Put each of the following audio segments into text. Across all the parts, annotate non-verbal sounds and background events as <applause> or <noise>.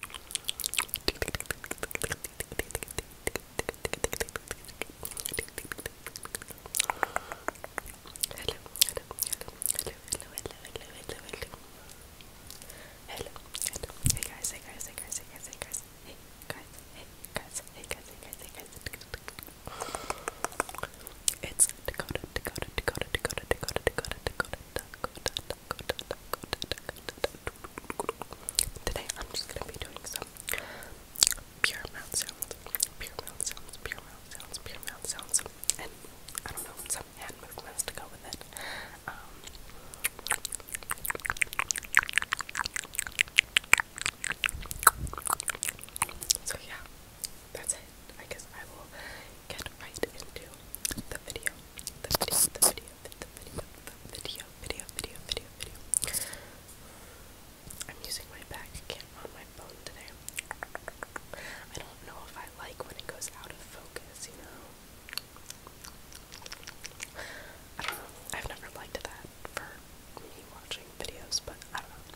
hey guys, hey guys, hey guys, hey guys, hey guys, hey guys, hey guys, hey guys, hey guys, hey guys. It's Dakota, Dakota, Dakota, Dakota, Dakota, Dakota, Dakota, Today I'm just gonna be doing some pure mouth sounds, pure mouth sounds, pure mouth sounds, pure mouth sounds, and I don't know some hand movements to go with it. Um, so yeah, that's it. I guess I will get right into the video. The video, the video, the video, the video, video, video, video, video. I'm using my back cam on my phone today. I don't know if I like when it goes out of focus, you know? I don't know. I've never liked that for me watching videos, but I don't know.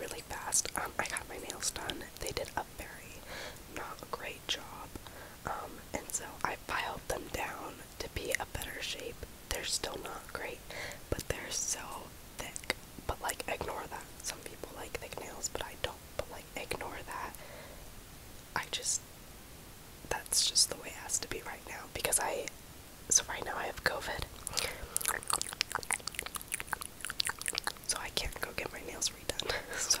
really fast. Um, I got my nails done. They did a very not great job. Um, and so I filed them down to be a better shape. They're still not great, but they're so thick. But like, ignore that. Some people like thick nails, but I don't. But like, ignore that. I just, that's just the way it has to be right now because I so right now I have COVID. So I can't go get my nails redone. <laughs> So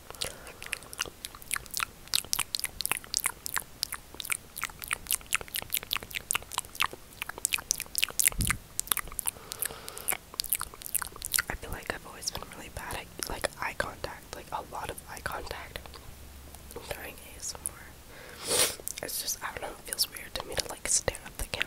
I feel like I've always been really bad at like eye contact, like a lot of eye contact Trying to get during ASMR. It's just I don't know, it feels weird to me to like stare at the camera.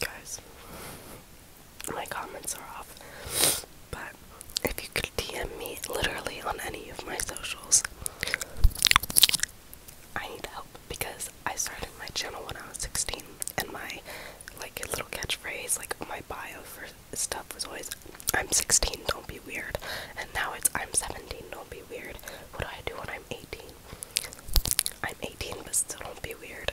Guys, my comments are off, but if you could DM me literally on any of my socials, I need help because I started my channel when I was 16 and my like little catchphrase, like my bio for stuff was always I'm 16, don't be weird. And now it's I'm 17, don't be weird. What do I do when I'm 18? I'm 18 but still don't be weird.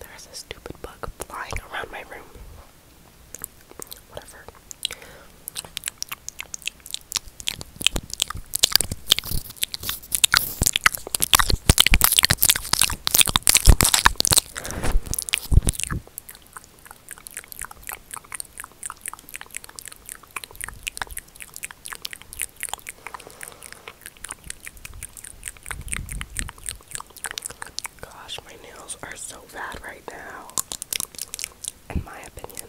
There's a stupid bug flying around my room. Whatever. Gosh, my nails are so bad right now, in my opinion.